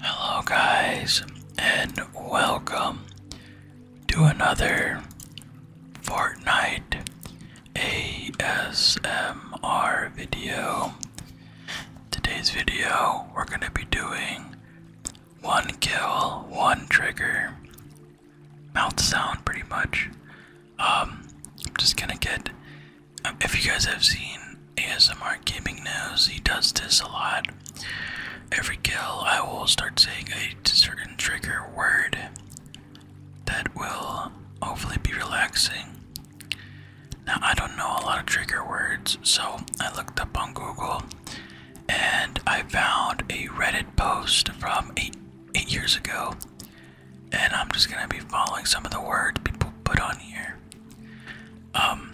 Hello, guys, and welcome to another Fortnite ASMR video. Today's video, we're going to be doing one kill, one trigger, mouth sound pretty much. Um, I'm just going to get, um, if you guys have seen ASMR gaming knows he does this a lot. Every kill, I will start saying a certain trigger word that will hopefully be relaxing. Now, I don't know a lot of trigger words, so I looked up on Google and I found a Reddit post from eight, years ago. And I'm just gonna be following some of the words people put on here. Um,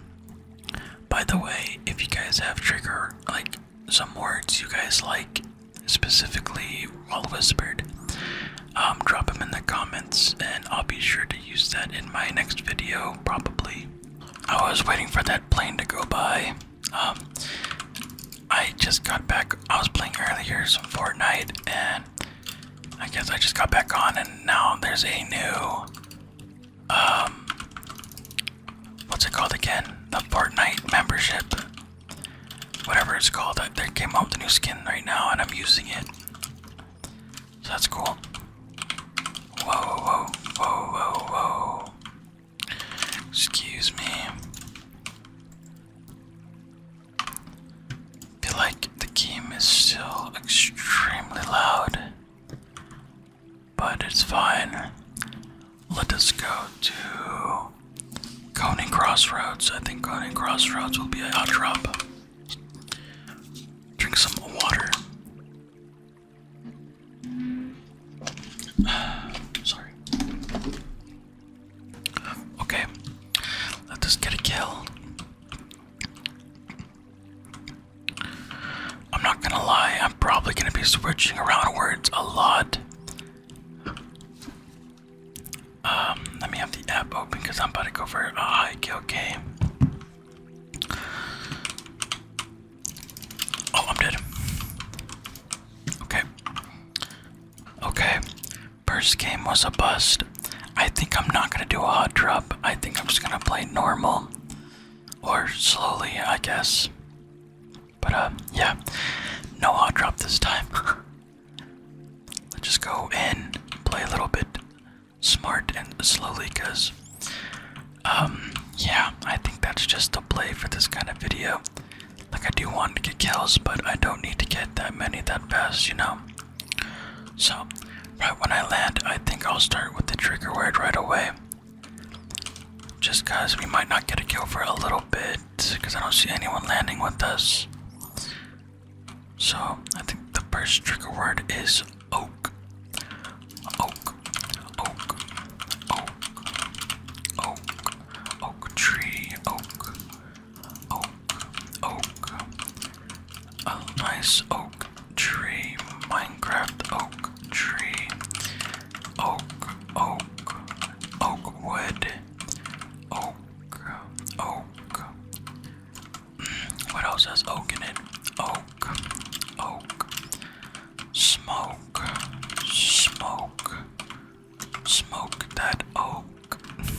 by the way, if you guys have trigger, like some words you guys like, specifically while whispered, um, drop them in the comments and I'll be sure to use that in my next video, probably. I was waiting for that plane to go by. Um, I just got back, I was playing earlier some Fortnite and I guess I just got back on and now there's a new um what's it called again? The Fortnite membership. Whatever it's called. There came out the new skin right now and I'm using it. So that's cool. whoa, whoa, whoa, whoa, whoa. Excuse me feel like the game is still extremely loud, but it's fine. Let us go to Coney Crossroads. I think Coney Crossroads will be a hot drop. Drink some water. Sorry. Okay, let us get a kill. I'm not gonna lie, I'm probably gonna be switching around words a lot. Um, let me have the app open because I'm about to go for a hike, okay? Oh, I'm dead. Okay. Okay. First game was a bust. I think I'm not gonna do a hot drop. I think I'm just gonna play normal or slowly, I guess. But uh, yeah, no hot drop this time. Let's just go in, play a little bit smart and slowly, cause um, yeah, I think that's just the play for this kind of video. Like I do want to get kills, but I don't need to get that many that fast, you know. So, right when I land, I think I'll start with the trigger word right away. Just because we might not get a kill for a little bit, because I don't see anyone landing with us. So, I think the first trigger word is oak. Oak, oak, oak, oak, oak tree, oak, oak, oak, a nice oak tree, Minecraft oak tree, oak, oak, oak wood, oak, oak. Mm, what else has oak in it? Oak, oak, smoke, smoke, smoke that oak.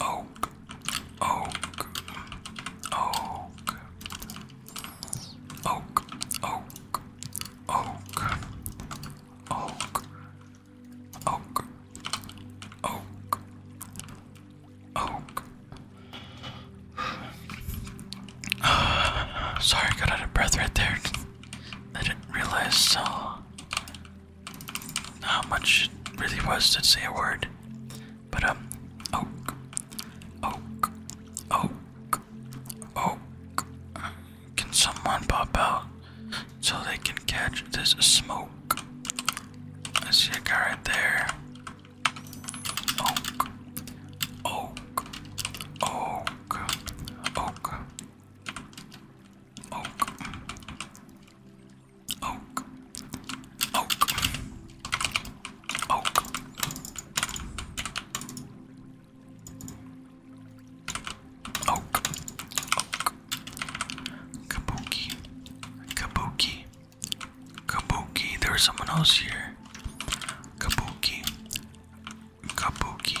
oak, oak, oak, oak, oak, oak, oak, oak, oak, oak. Sorry, got out of breath right there. I didn't realize uh, how much it really was to say a word. But, um, oak, oak, oak, oak. Can someone pop out so they can catch this smoke? I see a guy right there. Oak, oak, oak, oak, oak oak, oak, oak. Oak, oak, kabuki, kabuki, kabuki. There was someone else here. Kabuki, kabuki,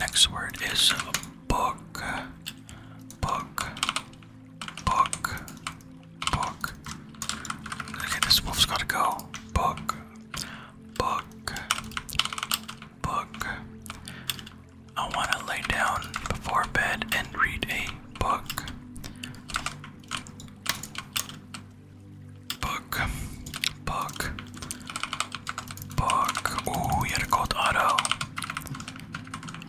Next word is book. Book. Book. Book. Okay, this wolf's gotta go. Book. Book. Book. I wanna lay down before bed and read a book. Book. Book. Book. Oh, we had a gold auto.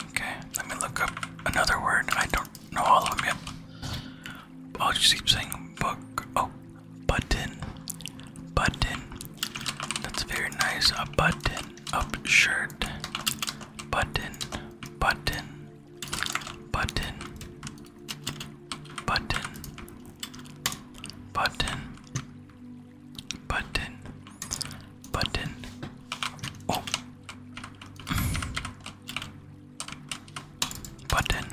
Okay, let me look up another word. I don't know all of them yet. I'll oh, just keep saying book. Oh, button. Button. That's very nice. A button up shirt. Button. Button. Button button, button, button, button. Oh. button,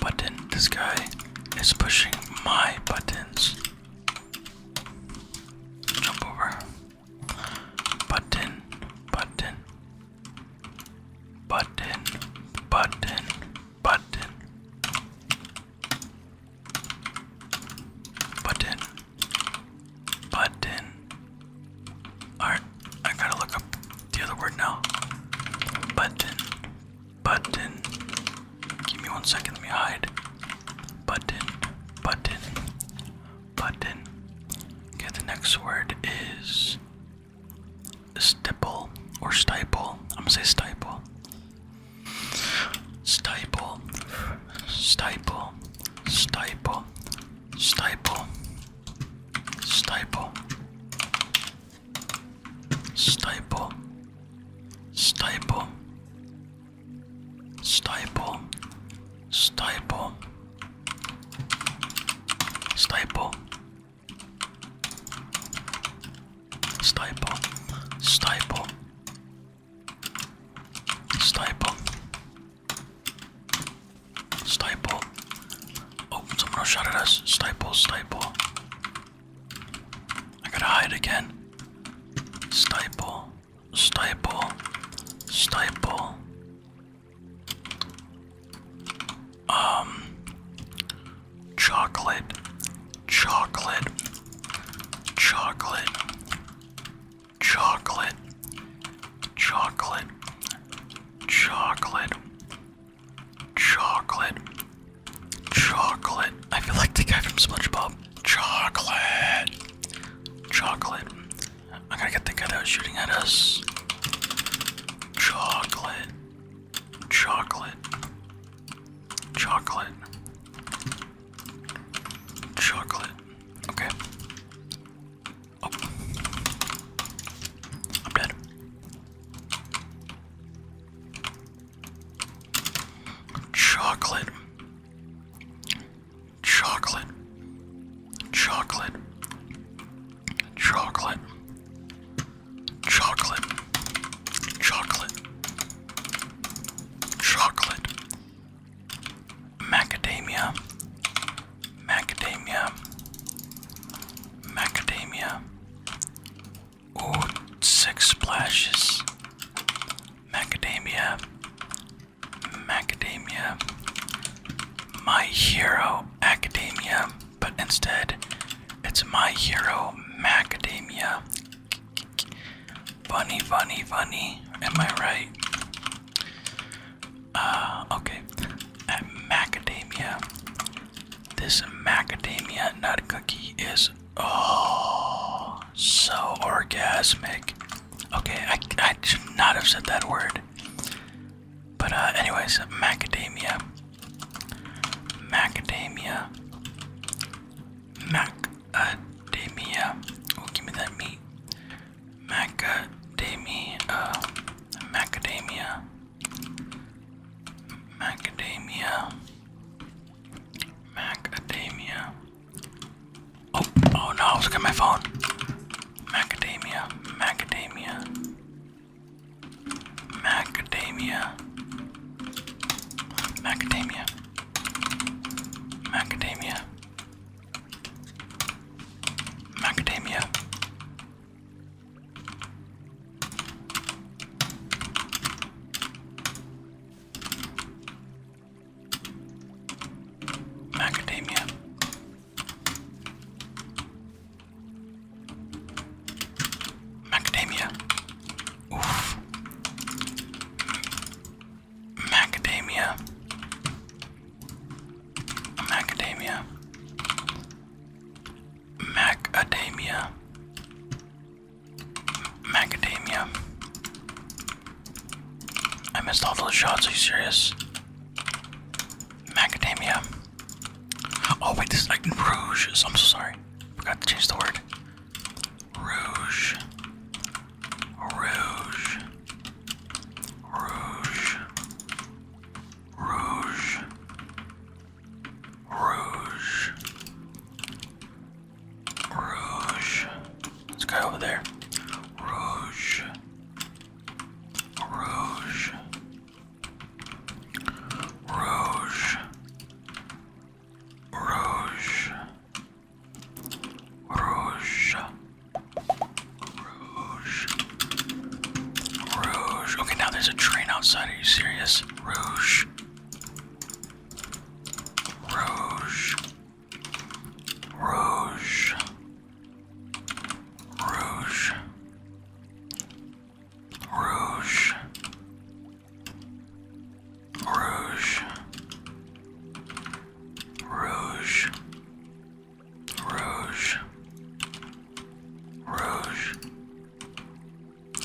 button. This guy is pushing my buttons. Jump over. Button, button, Button, button, button. Button, button. Alright, I gotta look up the other word now. Button, button. Give me one second, let me hide. Button, button, button. Okay, the next word is Stipple or staple. I'm gonna say staple. Staple. Staple. Staple. Staple. Stiple. Stiple. Stiple. Stiple. Stiple. Staple, staple, staple, staple. Oh, someone shot at us. Staple, staple. I gotta hide again. Staple, staple, staple, um, chocolate, chocolate, chocolate, chocolate, chocolate, chocolate, chocolate, chocolate. I feel like the guy from SpongeBob. Chocolate, chocolate, i got to get the guy that was shooting at us. Chocolate. Chocolate. Chocolate. Chocolate. Okay. Oh. I'm dead. Chocolate. Chocolate. Chocolate chocolate, chocolate, chocolate, chocolate, macadamia, macadamia, macadamia. Ooh, six splashes. Macadamia, macadamia, my Hero Academia, but instead it's My Hero Macadamia. Bunny, bunny, bunny. Am I right? Uh, okay. At macadamia. This macadamia nut cookie is oh so orgasmic. Okay, I should not have said that word. But uh, anyways, macadamia, macadamia, macadamia. Oh, give me that meat. Macadamia, uh, macadamia, macadamia, macadamia. Oh, oh no! I was looking at my phone. Macadamia, macadamia, macadamia, macadamia, macadamia, macadamia. Macadamia, Macadamia. Oof. Macadamia. Macadamia. Macadamia. Macadamia. I missed all those shots, are you serious? Macadamia. Oh wait, this is like rouge. I'm so sorry. Forgot to change the word. Rouge. Rouge. Rouge. Rouge. Rouge. Rouge. This guy over there. Rouge. Rouge, Rouge, Rouge, Rouge, Rouge, Rouge. Okay, now there's a train outside. Are you serious? Rouge, Rouge. Rouge, Rouge, Rouge, Rouge, Rouge, Rouge, Rouge.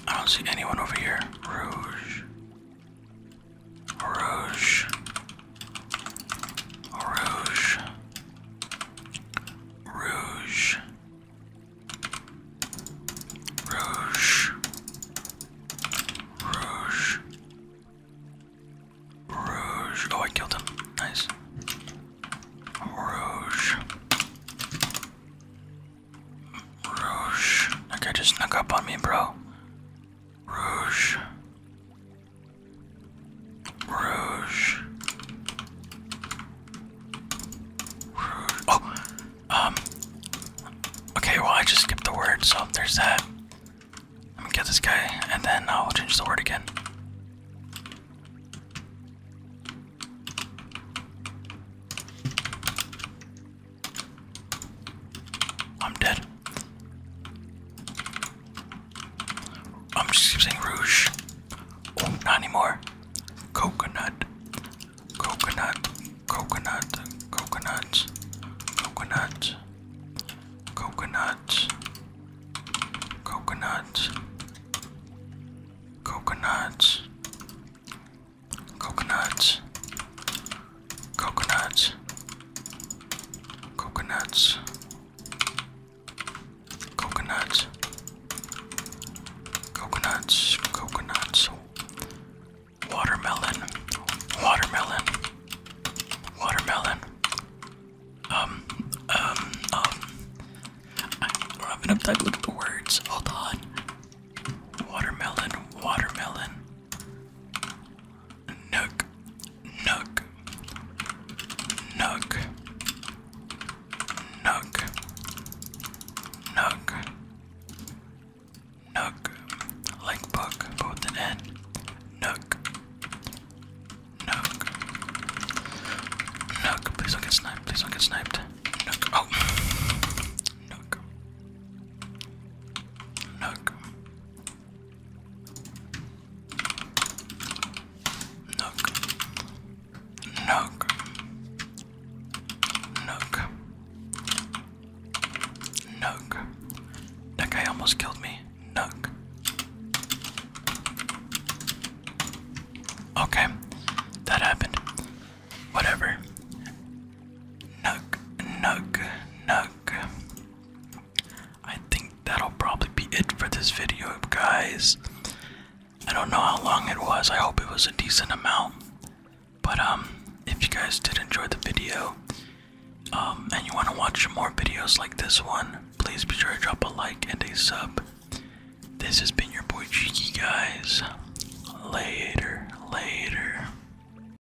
I don't see anyone over here. Rouge. Rouge. Rouge. Rouge. Rouge. Rouge. Rouge. Oh, I killed him. Nice. Rouge. Rouge. That guy just snuck up on me, bro. Rouge. Rouge. Oh, um. Okay, well, I just skipped the word, so there's that. Let me get this guy, and then I'll change the word again. I'm dead. I'm just keep saying rouge. Oh, not anymore. Coconut. Coconut. Coconut. Coconut. Coconut. Coconut. Coconut. Coconut. Coconut. Coconuts. Coconuts. Coconuts. Coconuts. Coconuts. Watermelon. Watermelon. Watermelon. Um, um, um. I'm having a time looking for words. Hold on. Watermelon. Watermelon. Nook, nook, nook, nook, nook, nook, like book, both an N, nook, nook, nook, please don't get sniped, please don't get sniped, nook, oh, nook, nook, Nook. Nook. Nook. Nook. That guy almost killed me. Nook. Okay. That happened. Whatever. Nook. Nook. Nook. I think that'll probably be it for this video, guys. I don't know how long it was. I hope it was a decent amount. But um, if you guys did enjoy the video, um, and you want to watch more videos like this one, please be sure to drop a like and a sub. This has been your boy Cheeky, guys. Later, later.